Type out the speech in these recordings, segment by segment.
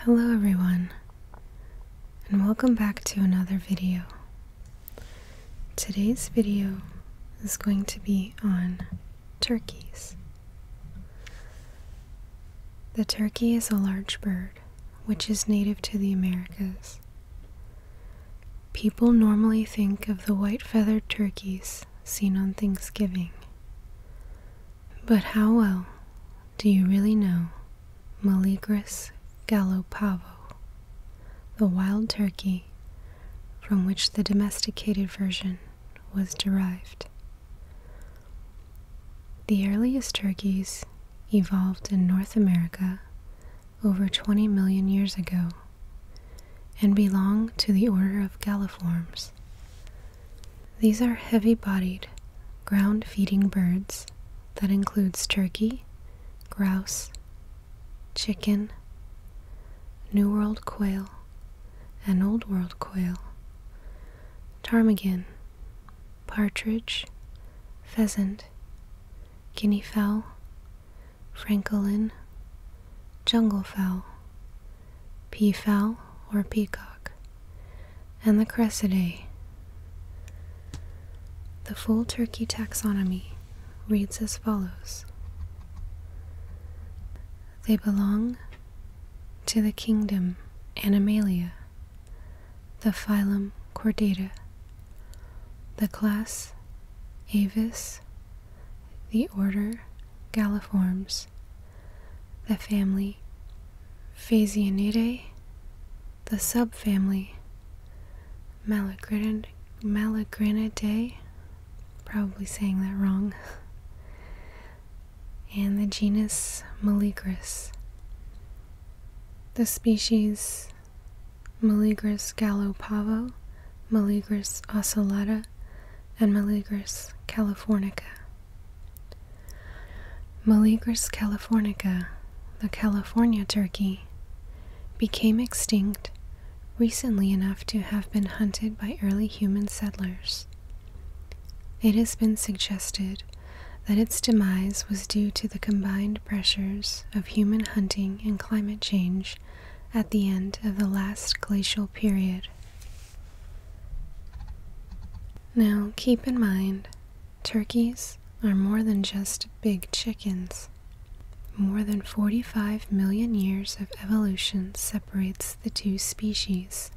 Hello everyone and welcome back to another video. Today's video is going to be on turkeys. The turkey is a large bird which is native to the Americas. People normally think of the white feathered turkeys seen on Thanksgiving. But how well do you really know Maligris gallopavo, the wild turkey from which the domesticated version was derived? The earliest turkeys evolved in North America over 20 million years ago and belong to the order of galliforms, these are heavy bodied, ground feeding birds that includes turkey, grouse, chicken, New World quail, and Old World quail, ptarmigan, partridge, pheasant, guinea fowl, francolin, jungle fowl, peafowl or peacock, and the Cressidae. The full turkey taxonomy reads as follows They belong to the kingdom Animalia, the phylum Chordata, the class Avis, the order Galliformes the family Phasianidae, the subfamily Malagrinidae, probably saying that wrong, and the genus Maligris. The species gallo pavo, Maligris ocellata, and Maligris californica. Maligris californica, the California turkey, became extinct recently enough to have been hunted by early human settlers. It has been suggested that its demise was due to the combined pressures of human hunting and climate change at the end of the last glacial period. Now keep in mind, turkeys are more than just big chickens. More than 45 million years of evolution separates the two species.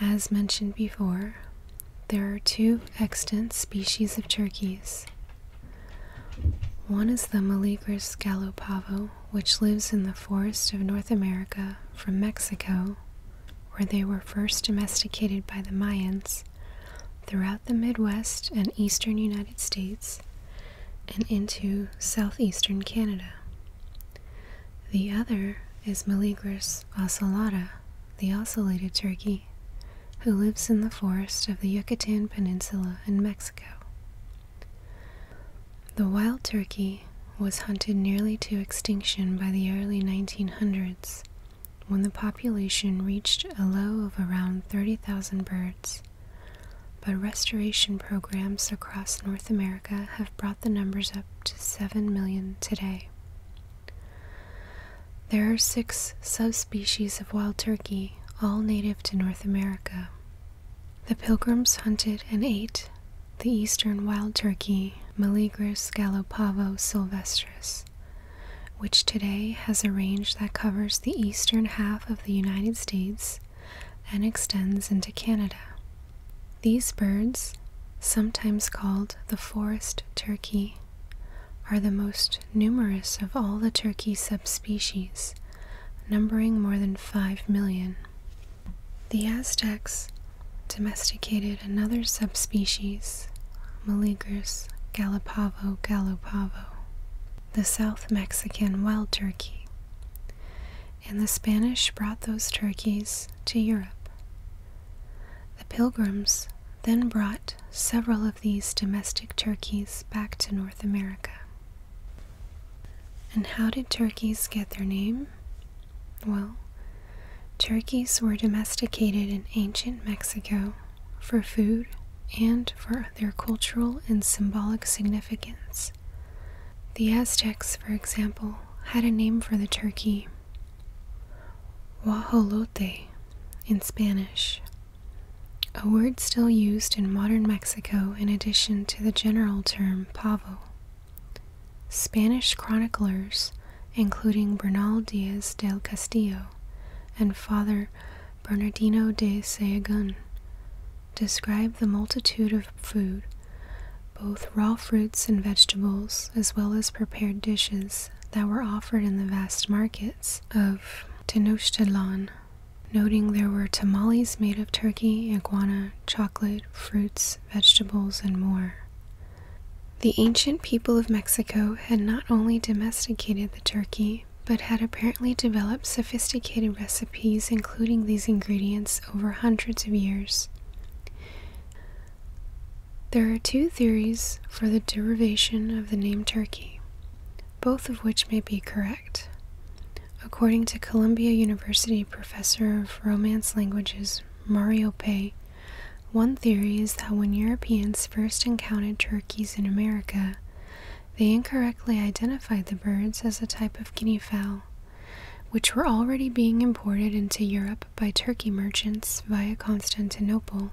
As mentioned before, there are two extant species of turkeys. One is the Maligris gallopavo which lives in the forests of North America from Mexico, where they were first domesticated by the Mayans, throughout the Midwest and eastern United States, and into southeastern Canada. The other is Meleagris ocellata, the ocellated turkey, who lives in the forests of the Yucatan Peninsula in Mexico. The wild turkey was hunted nearly to extinction by the early 1900s when the population reached a low of around 30,000 birds. But restoration programs across North America have brought the numbers up to 7 million today. There are six subspecies of wild turkey, all native to North America. The pilgrims hunted and ate the eastern wild turkey, Meligris gallopavo sylvestris, which today has a range that covers the eastern half of the United States and extends into Canada. These birds, sometimes called the forest turkey, are the most numerous of all the turkey subspecies numbering more than 5 million. The Aztecs domesticated another subspecies, Meleagris gallopavo gallopavo, the South Mexican wild turkey, and the Spanish brought those turkeys to Europe. The pilgrims then brought several of these domestic turkeys back to North America. And how did turkeys get their name? Well, turkeys were domesticated in ancient Mexico for food and for their cultural and symbolic significance. The Aztecs, for example, had a name for the turkey guajolote in Spanish, a word still used in modern Mexico in addition to the general term pavo. Spanish chroniclers, including Bernal Diaz del Castillo and Father Bernardino de Sahagun, describe the multitude of food, both raw fruits and vegetables, as well as prepared dishes that were offered in the vast markets of Tenochtitlan noting there were tamales made of turkey, iguana, chocolate, fruits, vegetables, and more. The ancient people of Mexico had not only domesticated the turkey, but had apparently developed sophisticated recipes including these ingredients over hundreds of years. There are two theories for the derivation of the name turkey, both of which may be correct. According to Columbia University professor of Romance languages Mario Pei, one theory is that when Europeans first encountered turkeys in America, they incorrectly identified the birds as a type of guinea fowl, which were already being imported into Europe by turkey merchants via Constantinople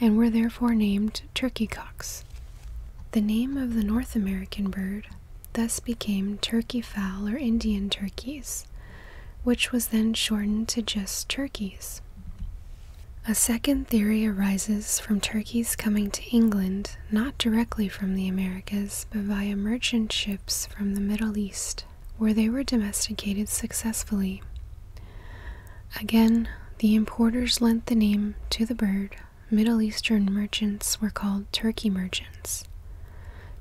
and were therefore named turkey cocks. The name of the North American bird, thus became turkey fowl or Indian turkeys, which was then shortened to just turkeys. A second theory arises from turkeys coming to England, not directly from the Americas, but via merchant ships from the Middle East, where they were domesticated successfully. Again, the importers lent the name to the bird Middle Eastern merchants were called Turkey merchants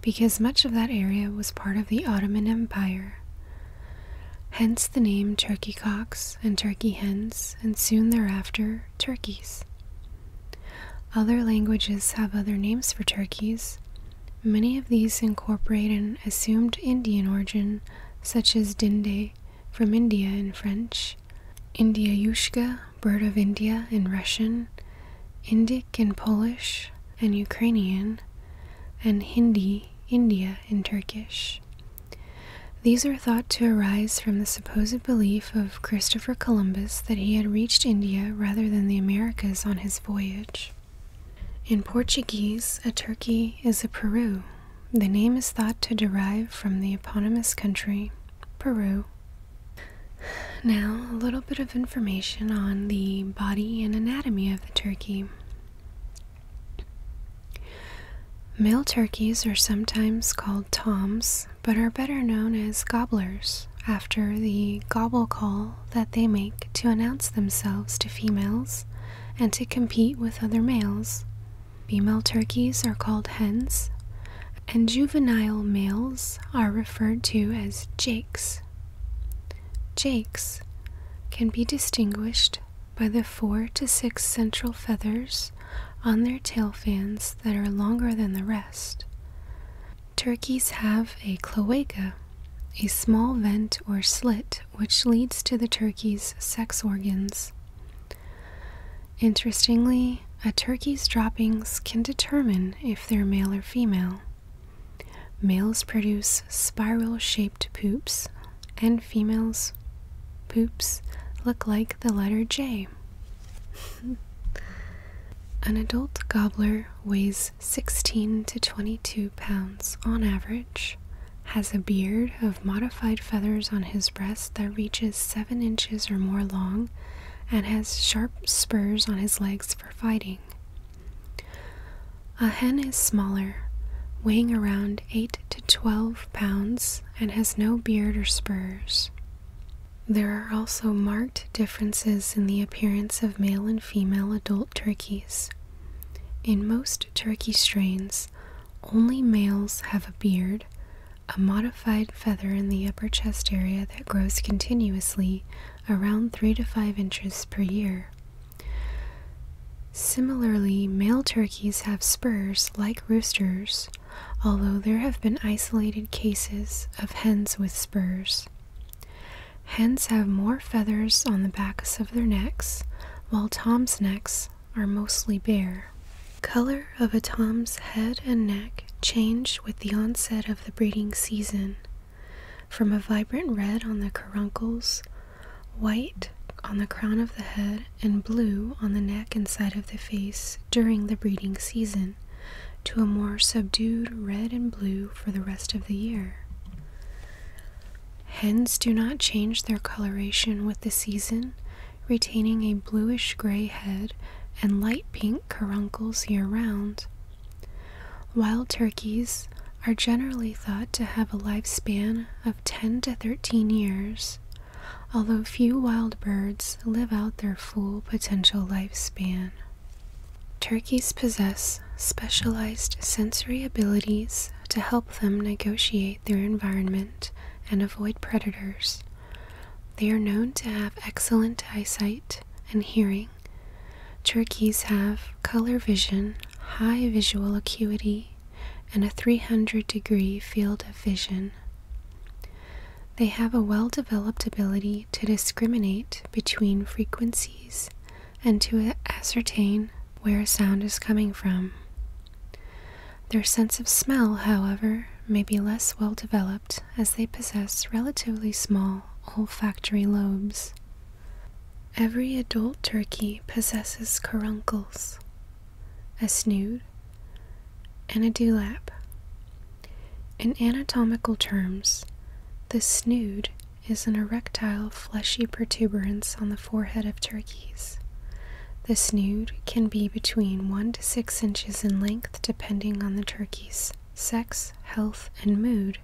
because much of that area was part of the Ottoman Empire. Hence the name turkey cocks and turkey hens, and soon thereafter, turkeys. Other languages have other names for turkeys. Many of these incorporate an assumed Indian origin, such as dinde from India in French, Indiayushka Bird of India in Russian, Indic in Polish and Ukrainian, and Hindi, India in Turkish. These are thought to arise from the supposed belief of Christopher Columbus that he had reached India rather than the Americas on his voyage. In Portuguese, a turkey is a Peru. The name is thought to derive from the eponymous country Peru. Now, a little bit of information on the body and anatomy of the turkey. Male turkeys are sometimes called toms, but are better known as gobblers after the gobble call that they make to announce themselves to females and to compete with other males. Female turkeys are called hens, and juvenile males are referred to as jakes. Jakes can be distinguished by the four to six central feathers on their tail fans that are longer than the rest. Turkeys have a cloaca, a small vent or slit which leads to the turkey's sex organs. Interestingly, a turkey's droppings can determine if they're male or female. Males produce spiral shaped poops, and females' poops look like the letter J. An adult gobbler weighs 16 to 22 pounds on average, has a beard of modified feathers on his breast that reaches 7 inches or more long and has sharp spurs on his legs for fighting. A hen is smaller, weighing around 8 to 12 pounds, and has no beard or spurs. There are also marked differences in the appearance of male and female adult turkeys. In most turkey strains, only males have a beard, a modified feather in the upper chest area that grows continuously around 3 to 5 inches per year. Similarly, male turkeys have spurs like roosters, although there have been isolated cases of hens with spurs. Hens have more feathers on the backs of their necks, while Tom's necks are mostly bare. Color of a tom's head and neck change with the onset of the breeding season, from a vibrant red on the caruncles, white on the crown of the head, and blue on the neck and side of the face during the breeding season, to a more subdued red and blue for the rest of the year. Hens do not change their coloration with the season retaining a bluish gray head and light pink caruncles year round. Wild turkeys are generally thought to have a lifespan of 10 to 13 years, although few wild birds live out their full potential lifespan. Turkeys possess specialized sensory abilities to help them negotiate their environment and avoid predators, they are known to have excellent eyesight and hearing. Turkeys have color vision, high visual acuity, and a 300 degree field of vision. They have a well developed ability to discriminate between frequencies and to ascertain where a sound is coming from. Their sense of smell, however, may be less well developed as they possess relatively small olfactory lobes. Every adult turkey possesses caruncles, a snood, and a dewlap. In anatomical terms, the snood is an erectile fleshy protuberance on the forehead of turkey skis. The snood can be between 1 to 6 inches in length depending on the turkey's sex, health, and mood.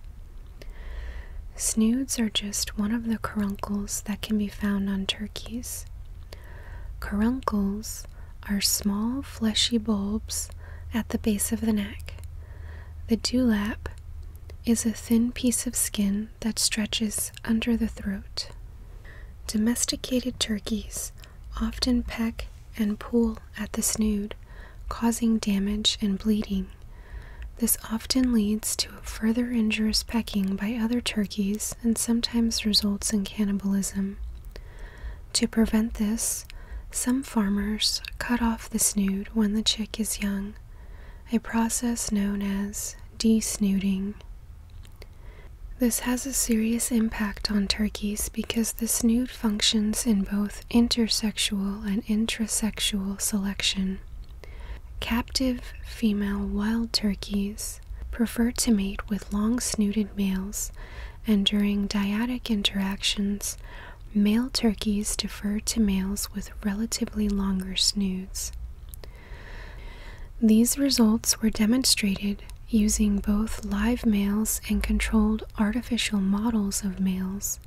Snoods are just one of the caruncles that can be found on turkeys. Caruncles are small fleshy bulbs at the base of the neck. The dewlap is a thin piece of skin that stretches under the throat. Domesticated turkeys often peck and pull at the snood, causing damage and bleeding. This often leads to further injurious pecking by other turkeys and sometimes results in cannibalism. To prevent this, some farmers cut off the snood when the chick is young, a process known as desnooting. This has a serious impact on turkeys because this snood functions in both intersexual and intrasexual selection. Captive female wild turkeys prefer to mate with long snooted males, and during dyadic interactions, male turkeys defer to males with relatively longer snoods. These results were demonstrated using both live males and controlled artificial models of males.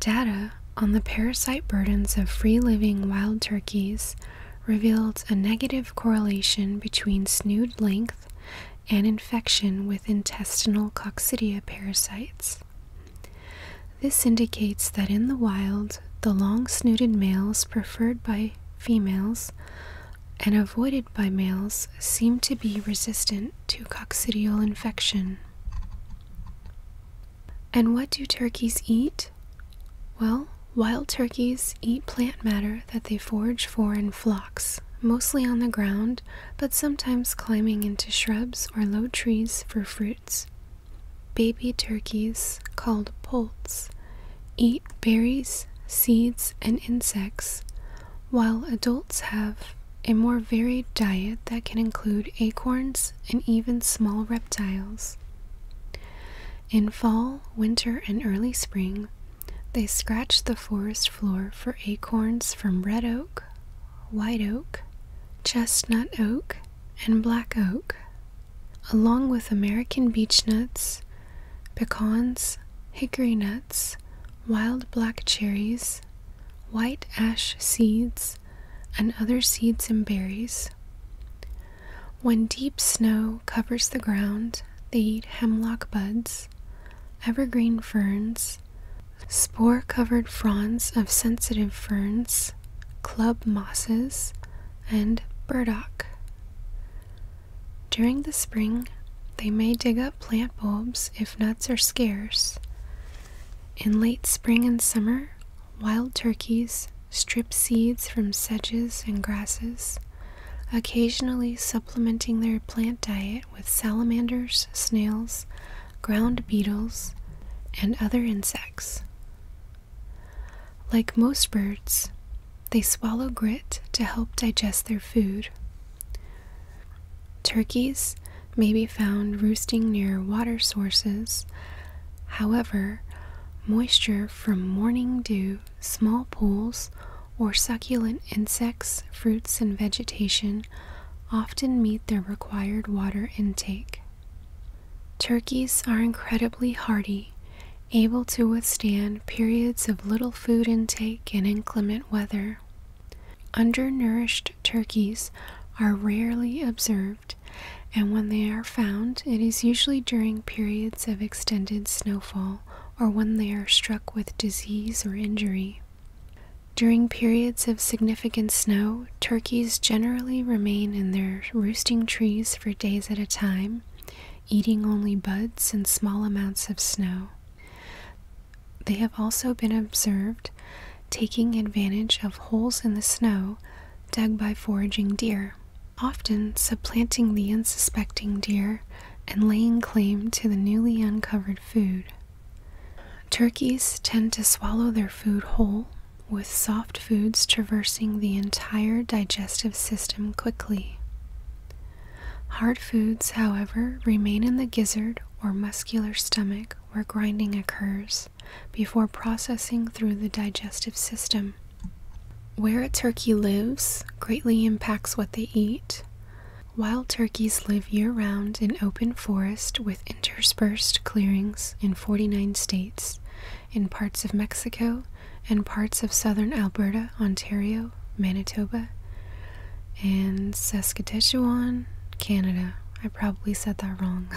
Data on the parasite burdens of free living wild turkeys revealed a negative correlation between snood length and infection with intestinal coccidia parasites. This indicates that in the wild, the long snooted males preferred by females and avoided by males seem to be resistant to coccidial infection. And what do turkeys eat? Well, wild turkeys eat plant matter that they forage for in flocks, mostly on the ground, but sometimes climbing into shrubs or low trees for fruits. Baby turkeys, called poults, eat berries, seeds, and insects, while adults have a more varied diet that can include acorns and even small reptiles. In fall, winter, and early spring, they scratch the forest floor for acorns from red oak, white oak, chestnut oak, and black oak, along with American beech nuts, pecans, hickory nuts, wild black cherries, white ash seeds, and other seeds and berries. When deep snow covers the ground, they eat hemlock buds, evergreen ferns, spore covered fronds of sensitive ferns, club mosses, and burdock. During the spring, they may dig up plant bulbs if nuts are scarce. In late spring and summer, wild turkeys strip seeds from sedges and grasses, occasionally supplementing their plant diet with salamanders, snails, ground beetles, and other insects. Like most birds, they swallow grit to help digest their food. Turkeys may be found roosting near water sources. However, moisture from morning dew, small pools, or succulent insects, fruits, and vegetation often meet their required water intake. Turkeys are incredibly hardy, able to withstand periods of little food intake and inclement weather. Undernourished turkeys are rarely observed, and when they are found, it is usually during periods of extended snowfall or when they are struck with disease or injury. During periods of significant snow, turkeys generally remain in their roosting trees for days at a time, eating only buds and small amounts of snow. They have also been observed taking advantage of holes in the snow dug by foraging deer, often supplanting the unsuspecting deer and laying claim to the newly uncovered food. Turkeys tend to swallow their food whole with soft foods traversing the entire digestive system quickly. Hard foods, however, remain in the gizzard or muscular stomach where grinding occurs before processing through the digestive system. Where a turkey lives greatly impacts what they eat. Wild turkeys live year round in open forest with interspersed clearings in 49 states, in parts of Mexico and parts of southern Alberta, Ontario, Manitoba, and Saskatchewan, Canada. I probably said that wrong.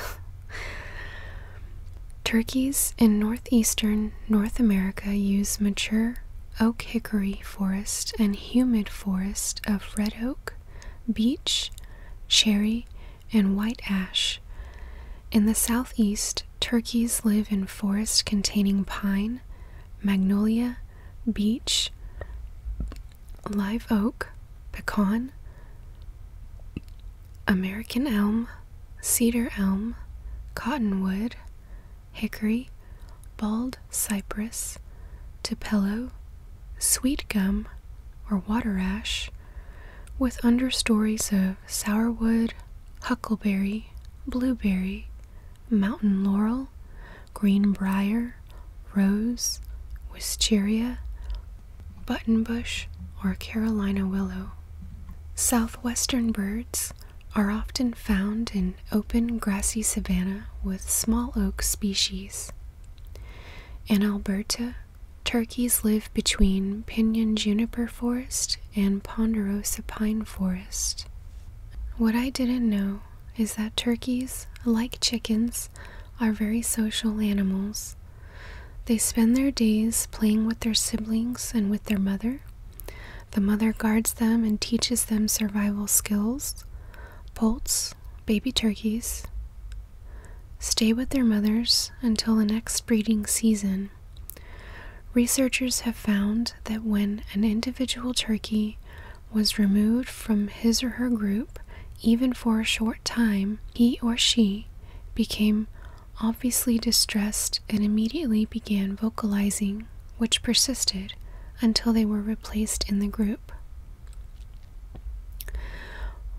Turkeys in northeastern North America use mature oak hickory forest and humid forest of red oak, beech, cherry, and white ash. In the southeast, turkeys live in forests containing pine, magnolia, beech, live oak, pecan, American elm, cedar elm, cottonwood, hickory, bald cypress, tupelo, sweet gum, or water ash, with understories of sourwood, huckleberry, blueberry, mountain laurel, greenbrier, rose, wisteria, buttonbush, or Carolina willow. Southwestern birds are often found in open grassy savanna with small oak species. In Alberta, Turkeys live between pinyon juniper forest and ponderosa pine forest. What I didn't know is that turkeys, like chickens, are very social animals. They spend their days playing with their siblings and with their mother. The mother guards them and teaches them survival skills. Poults, baby turkeys, stay with their mothers until the next breeding season. Researchers have found that when an individual turkey was removed from his or her group, even for a short time, he or she became obviously distressed and immediately began vocalizing, which persisted until they were replaced in the group.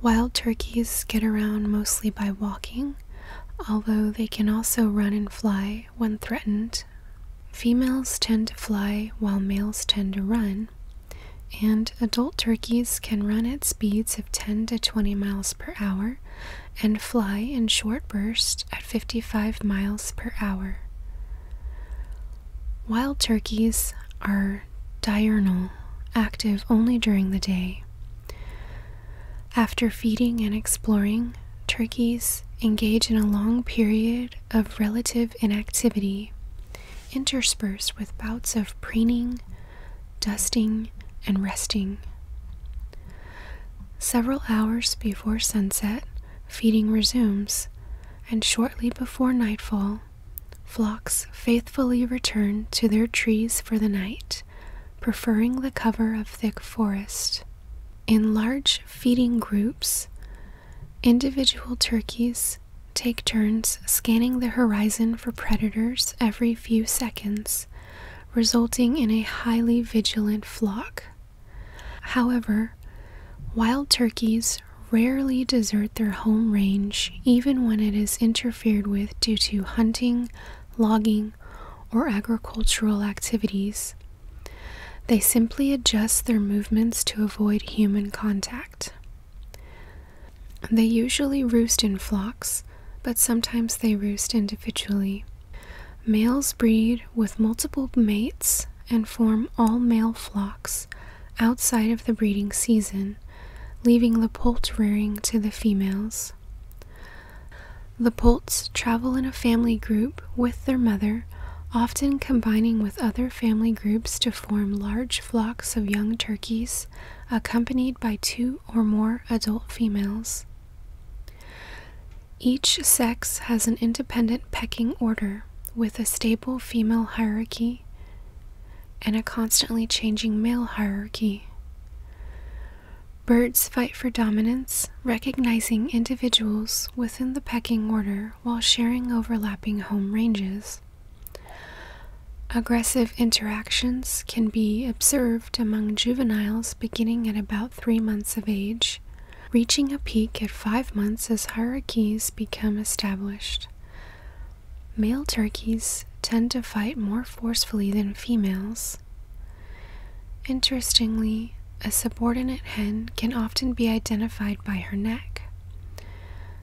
Wild turkeys get around mostly by walking, although they can also run and fly when threatened. Females tend to fly while males tend to run, and adult turkeys can run at speeds of 10 to 20 miles per hour and fly in short bursts at 55 miles per hour. Wild turkeys are diurnal, active only during the day. After feeding and exploring, turkeys engage in a long period of relative inactivity, interspersed with bouts of preening, dusting, and resting. Several hours before sunset, feeding resumes, and shortly before nightfall, flocks faithfully return to their trees for the night, preferring the cover of thick forest. In large feeding groups, individual turkeys take turns scanning the horizon for predators every few seconds, resulting in a highly vigilant flock. However, wild turkeys rarely desert their home range even when it is interfered with due to hunting, logging, or agricultural activities. They simply adjust their movements to avoid human contact. They usually roost in flocks, but sometimes they roost individually. Males breed with multiple mates and form all male flocks outside of the breeding season leaving the poult rearing to the females. The poults travel in a family group with their mother, often combining with other family groups to form large flocks of young turkeys, accompanied by two or more adult females. Each sex has an independent pecking order, with a stable female hierarchy and a constantly changing male hierarchy. Birds fight for dominance, recognizing individuals within the pecking order while sharing overlapping home ranges. Aggressive interactions can be observed among juveniles beginning at about three months of age, reaching a peak at five months as hierarchies become established. Male turkeys tend to fight more forcefully than females. Interestingly, a subordinate hen can often be identified by her neck.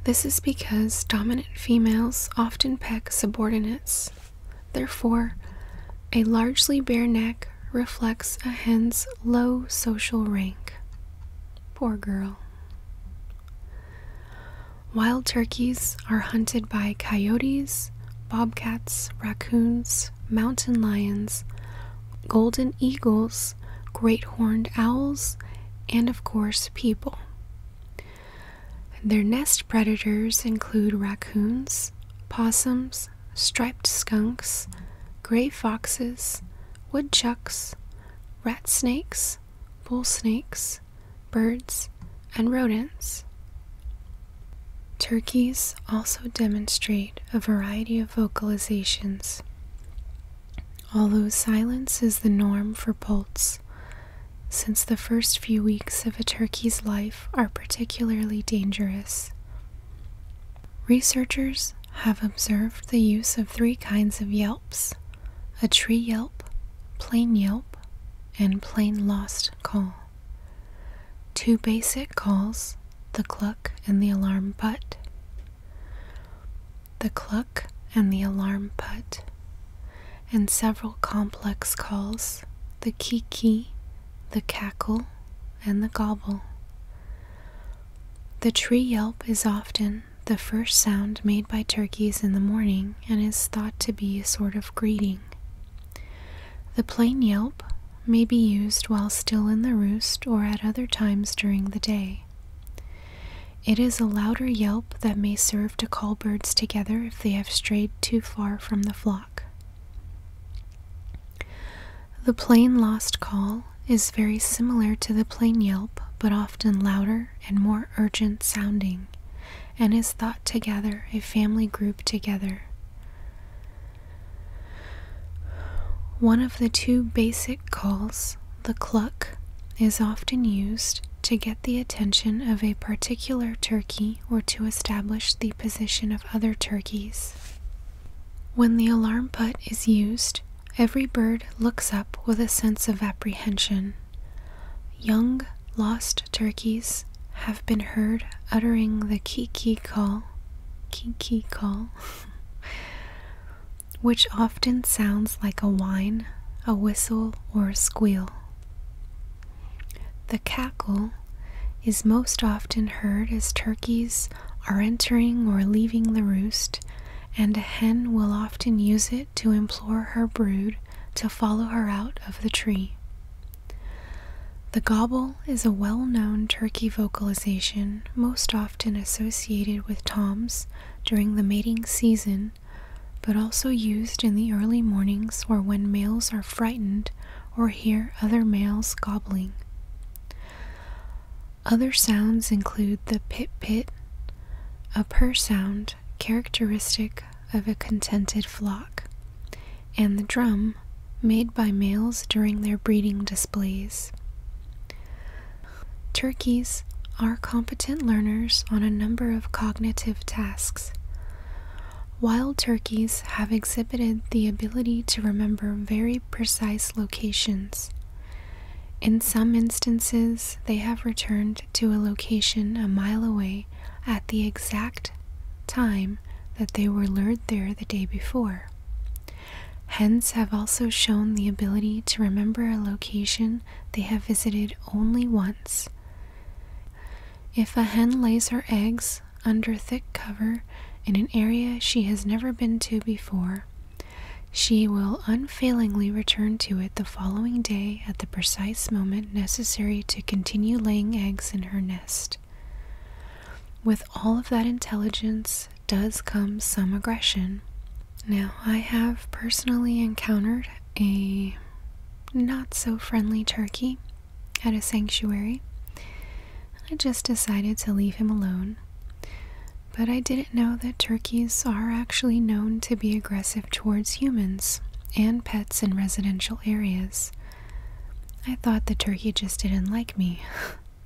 This is because dominant females often peck subordinates. Therefore, a largely bare neck reflects a hen's low social rank. Poor girl. Wild turkeys are hunted by coyotes, bobcats, raccoons, mountain lions, golden eagles, great horned owls, and of course, people. Their nest predators include raccoons, possums, striped skunks, gray foxes, woodchucks, rat snakes, bull snakes, birds, and rodents. Turkeys also demonstrate a variety of vocalizations. Although silence is the norm for poults, since the first few weeks of a turkey's life are particularly dangerous. Researchers have observed the use of three kinds of yelps a tree yelp, plain yelp, and plain lost call. Two basic calls, the cluck and the alarm putt. The cluck and the alarm putt, and several complex calls, the kiki, the cackle, and the gobble. The tree yelp is often the first sound made by turkeys in the morning and is thought to be a sort of greeting. The plain yelp may be used while still in the roost or at other times during the day. It is a louder yelp that may serve to call birds together if they have strayed too far from the flock. The plain lost call is very similar to the plain yelp but often. And louder and more urgent sounding, and is thought to gather a family group together. One of the two basic calls, the cluck, is often used to get the attention of a particular turkey or to establish the position of other turkeys. When the alarm putt is used, every bird looks up with a sense of apprehension. Young lost turkeys have been heard uttering the kiki call, kiki call, which often sounds like a whine, a whistle, or a squeal. The cackle is most often heard as turkeys are entering or leaving the roost, and a hen will often use it to implore her brood to follow her out of the tree. The gobble is a well known turkey vocalization most often associated with toms during the mating season, but also used in the early mornings or when males are frightened or hear other males gobbling. Other sounds include the pit pit, a purr sound characteristic of a contented flock, and the drum made by males during their breeding displays. Turkeys are competent learners on a number of cognitive tasks. Wild turkeys have exhibited the ability to remember very precise locations. In some instances, they have returned to a location a mile away at the exact time that they were lured there the day before. Hens have also shown the ability to remember a location they have visited only once. If a hen lays her eggs under thick cover in an area she has never been to before, she will unfailingly return to it the following day at the precise moment necessary to continue laying eggs in her nest. With all of that intelligence does come some aggression. Now, I have personally encountered a not so friendly turkey at a sanctuary. I just decided to leave him alone. But I didn't know that turkeys are actually known to be aggressive towards humans and pets in residential areas. I thought the turkey just didn't like me.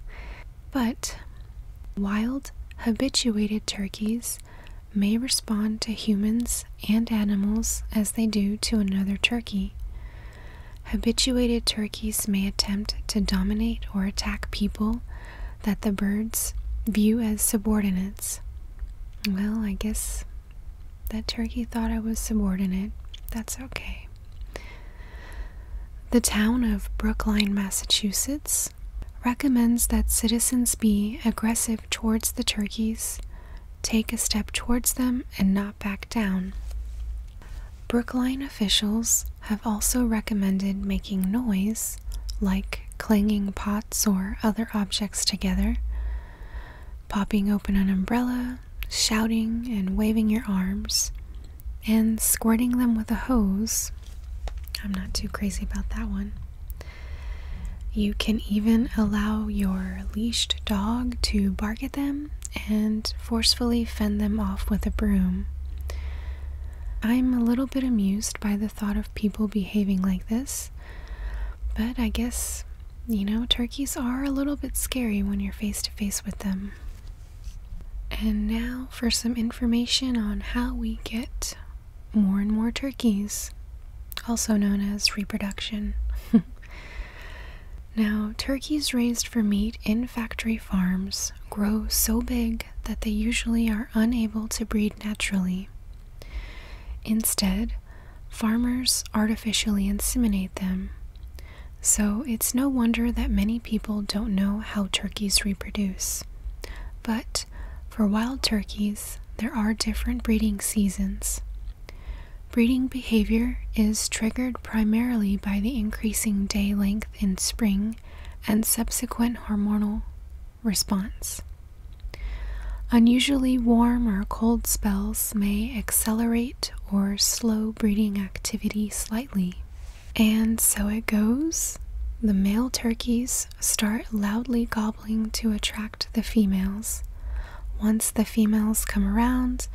but wild, habituated turkeys may respond to humans and animals as they do to another turkey. Habituated turkeys may attempt to dominate or attack people that the birds view as subordinates. Well, I guess that turkey thought I was subordinate. That's okay. The town of Brookline, Massachusetts recommends that citizens be aggressive towards the turkeys, take a step towards them, and not back down. Brookline officials have also recommended making noise like clanging pots or other objects together, popping open an umbrella, shouting and waving your arms, and squirting them with a hose. I'm not too crazy about that one. You can even allow your leashed dog to bark at them and forcefully fend them off with a broom. I'm a little bit amused by thought of people behaving like this. But I guess, you know, turkeys are a little bit scary when you're face to face with them. And now for some information on how we get more and more turkeys, also known as reproduction. now, turkeys raised for meat in factory farms grow so big that they usually are unable to breed naturally. Instead, farmers artificially inseminate them. So it's no wonder that many people don't know how turkeys reproduce. But for wild turkeys, there are different breeding seasons. Breeding behavior is triggered primarily by the increasing day length in spring and subsequent hormonal response. Unusually warm or cold spells may accelerate or slow breeding activity slightly. And so it goes. The male turkeys start loudly gobbling to attract the females. Once the females come around,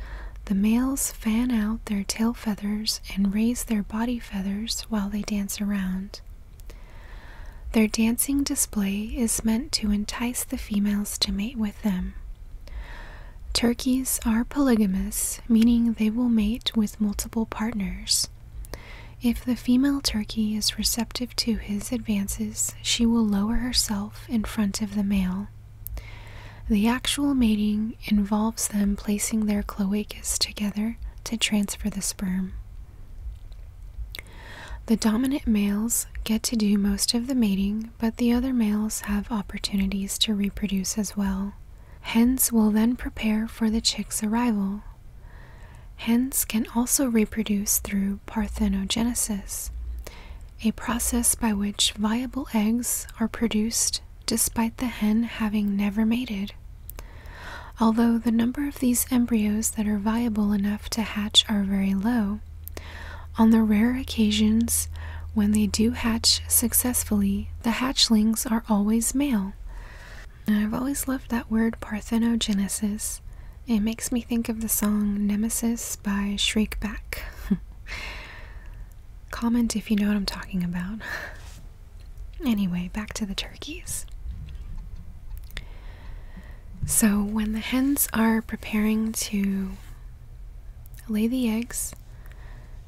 the males fan out their tail feathers and raise their body feathers while they dance around. Their dancing display is meant to entice the females to mate with them. Turkeys are polygamous, meaning they will mate with multiple partners. If the female turkey is receptive to his advances, she will lower herself in front of the male. The actual mating involves them placing their cloacas together to transfer the sperm. The dominant males get to do most of the mating, but the other males have opportunities to reproduce as well. Hens will then prepare for the chick's arrival. Hens can also reproduce through parthenogenesis, a process by which viable eggs are produced despite the hen having never mated. Although the number of these embryos that are viable enough to hatch are very low, on the rare occasions when they do hatch successfully, the hatchlings are always male. I've always loved that word parthenogenesis. It makes me think of the song Nemesis by Shriekback. Comment if you know what I'm talking about. Anyway, back to the turkeys. So, when the hens are preparing to lay the eggs,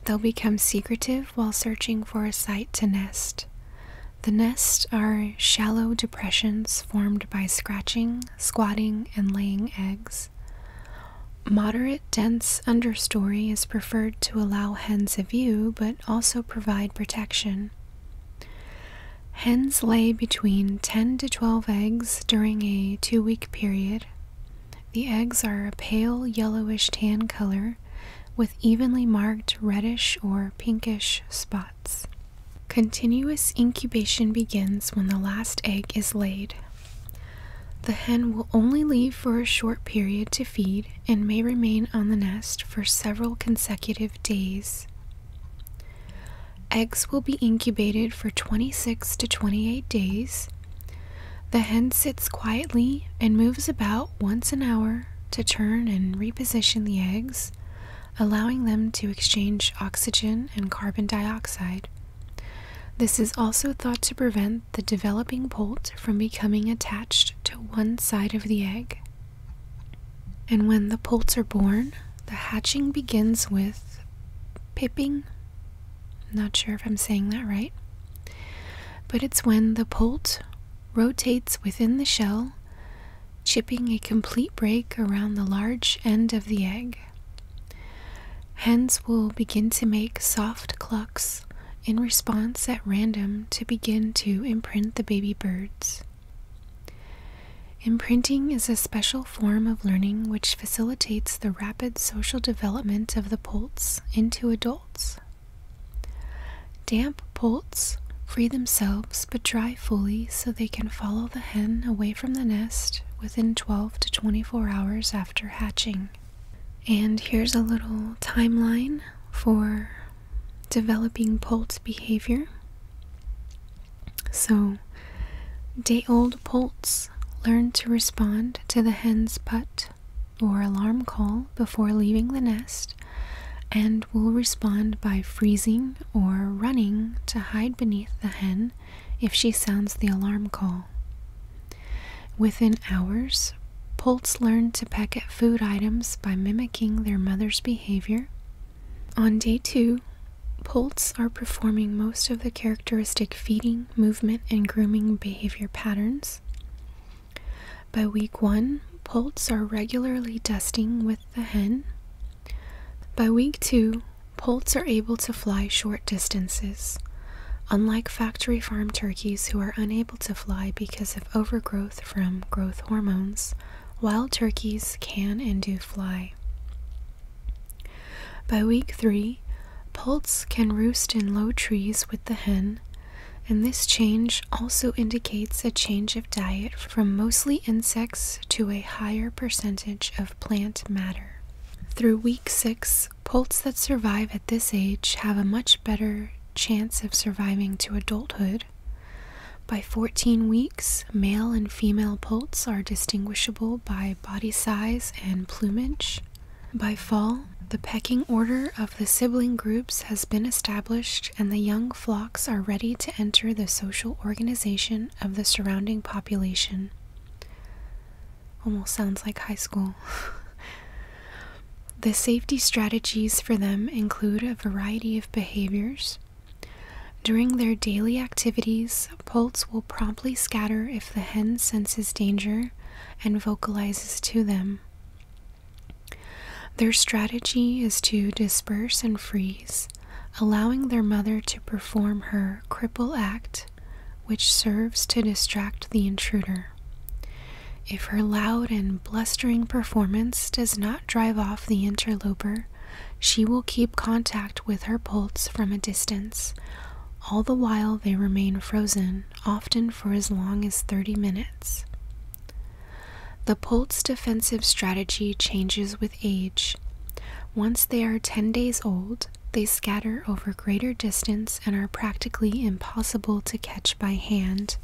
they'll become secretive while searching for a site to nest. The nests are shallow depressions formed by scratching, squatting, and laying eggs. Moderate, dense understory is preferred to allow hens a view, but also provide protection. Hens lay between 10 to 12 eggs during a two week period. The eggs are a pale yellowish tan color with evenly marked reddish or pinkish spots. Continuous incubation begins when the last egg is laid. The hen will only leave for a short period to feed and may remain on the nest for several consecutive days. Eggs will be incubated for 26 to 28 days. The hen sits quietly and moves about once an hour to turn and reposition the eggs, allowing them to exchange oxygen and carbon dioxide. This is also thought to prevent the developing bolt from becoming attached to one side of the egg. And when the poults are born, the hatching begins with pipping. Not sure if I'm saying that right. But it's when the poult rotates within the shell, chipping a complete break around the large end of the egg. Hens will begin to make soft clucks in response at random to begin to imprint the baby birds. Imprinting is a special form of learning which facilitates the rapid social development of the poults into adults. Damp poults free themselves but dry fully so they can follow the hen away from the nest within 12 to 24 hours after hatching. And here's a little timeline for developing poult behavior. So, day old poults learn to respond to the hen's put or alarm call before leaving the nest and will respond by freezing or running to hide beneath the hen if she sounds the alarm call. Within hours, Poults learn to peck at food items by mimicking their mother's behavior. On day two, Poults are performing most of the characteristic feeding, movement, and grooming behavior patterns. By week one, Poults are regularly dusting with the hen. By week two, Poults are able to fly short distances. Unlike factory farm turkeys who are unable to fly because of overgrowth from growth hormones, wild turkeys can and do fly. By week three, poults can roost in low trees with the hen, and this change also indicates a change of diet from mostly insects to a higher percentage of plant matter. Through week six, Poults that survive at this age have a much better chance of surviving to adulthood. By 14 weeks, male and female poults are distinguishable by body size and plumage. By fall, the pecking order of the sibling groups has been established and the young flocks are ready to enter the social organization of the surrounding population. Almost sounds like high school. The safety strategies for them include a variety of behaviors. During their daily activities, Poults will promptly scatter if the hen senses danger and vocalizes to them. Their strategy is to disperse and freeze, allowing their mother to perform her cripple act, which serves to distract the intruder. If her loud and blustering performance does not drive off the interloper, she will keep contact with her bolts from a distance, all the while they remain frozen, often for as long as 30 minutes. The Polt's defensive strategy changes with age. Once they are 10 days old, they scatter over greater distance and are practically impossible to catch by hand.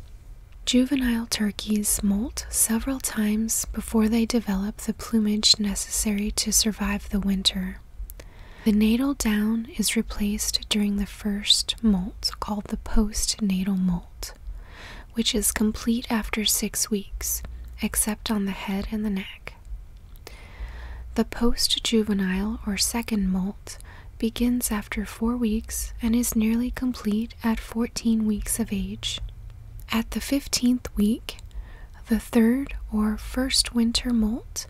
Juvenile turkeys molt several times before they develop the plumage necessary to survive the winter. The natal down is replaced during the first molt, called the postnatal molt, which is complete after six weeks, except on the head and the neck. The postjuvenile or second molt begins after four weeks and is nearly complete at 14 weeks of age. At the 15th week, the third or first winter molt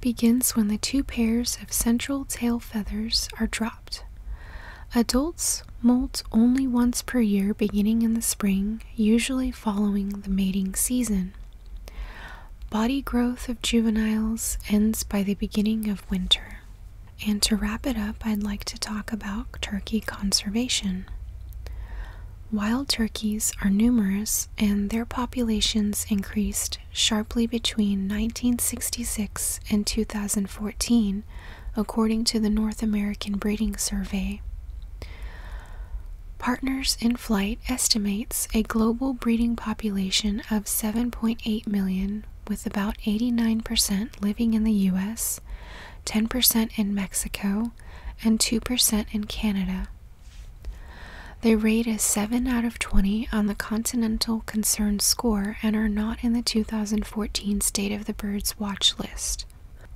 begins when the two pairs of central tail feathers are dropped. Adults molt only once per year beginning in the spring, usually following the mating season. Body growth of juveniles ends by the beginning of winter. And to wrap it up, I'd like to talk about turkey conservation. Wild turkeys are numerous and their populations increased sharply between 1966 and 2014, according to the North American Breeding Survey. Partners in Flight estimates a global breeding population of 7.8 million, with about 89% living in the US, 10% in Mexico, and 2% in Canada. They rate a 7 out of 20 on the Continental Concern score and are not in the 2014 State of the Birds watch list.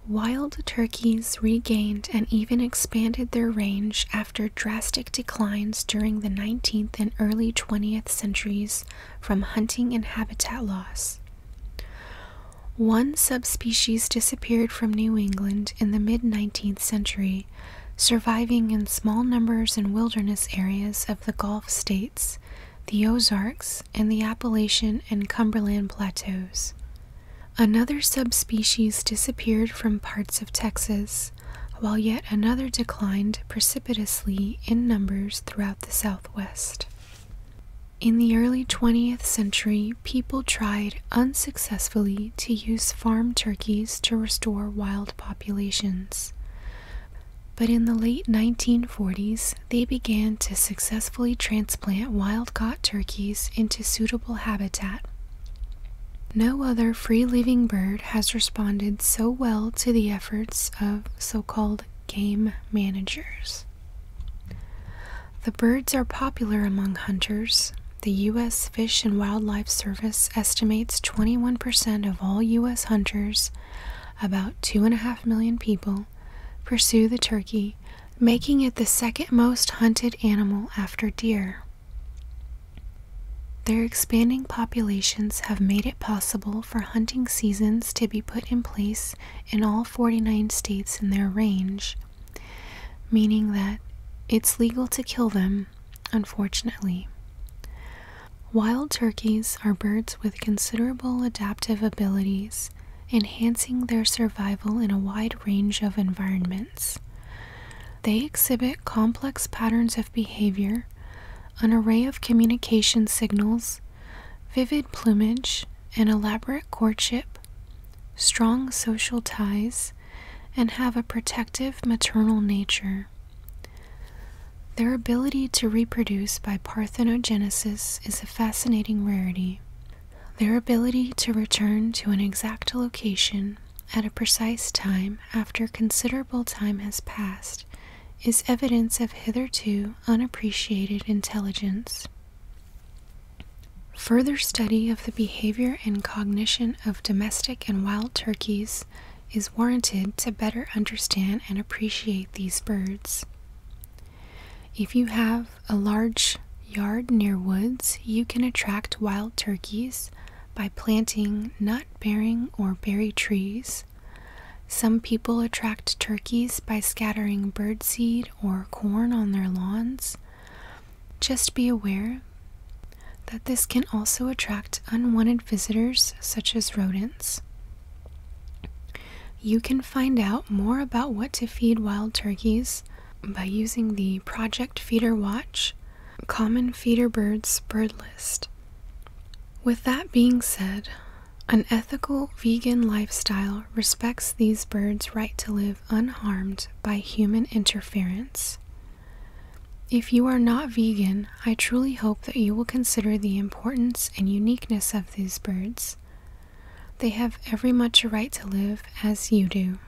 Wild turkeys regained and even expanded their range after drastic declines during the 19th and early 20th centuries from hunting and habitat loss. One subspecies disappeared from New England in the mid 19th century, surviving in small numbers in wilderness areas of the Gulf states, the Ozarks, and the Appalachian and Cumberland plateaus. Another subspecies disappeared from parts of Texas, while yet another declined precipitously in numbers throughout the Southwest. In the early 20th century, people tried unsuccessfully to use farm turkeys to restore wild populations. But in the late 1940s, they began to successfully transplant wild caught turkeys into suitable habitat no other free living bird has responded so well to the efforts of so called game managers. The birds are popular among hunters. The U.S. Fish and Wildlife Service estimates 21% of all U.S. hunters, about 2.5 million people, pursue the turkey, making it the second most hunted animal after deer. Their expanding populations have made it possible for hunting seasons to be put in place in all 49 states in their range, meaning that it's legal to kill them, unfortunately. Wild turkeys are birds with considerable adaptive abilities, enhancing their survival in a wide range of environments. They exhibit complex patterns of behavior, an array of communication signals, vivid plumage, an elaborate courtship, strong social ties, and have a protective maternal nature. Their ability to reproduce by parthenogenesis is a fascinating rarity. Their ability to return to an exact location at a precise time after considerable time has passed is evidence of hitherto unappreciated intelligence. Further study of the behavior and cognition of domestic and wild turkeys is warranted to better understand and appreciate these birds. If you have a large yard near woods, you can attract wild turkeys by planting nut bearing or berry trees. Some people attract turkeys by scattering birdseed or corn on their lawns. Just be aware that this can also attract unwanted visitors such as rodents. You can find out more about what to feed wild turkeys by using the Project Feeder Watch Common feeder birds bird list. With that being said, an ethical vegan lifestyle respects these birds' right to live unharmed by human interference. If you are not vegan, I truly hope that you will consider the importance and uniqueness of these birds. They have every much a right to live as you do.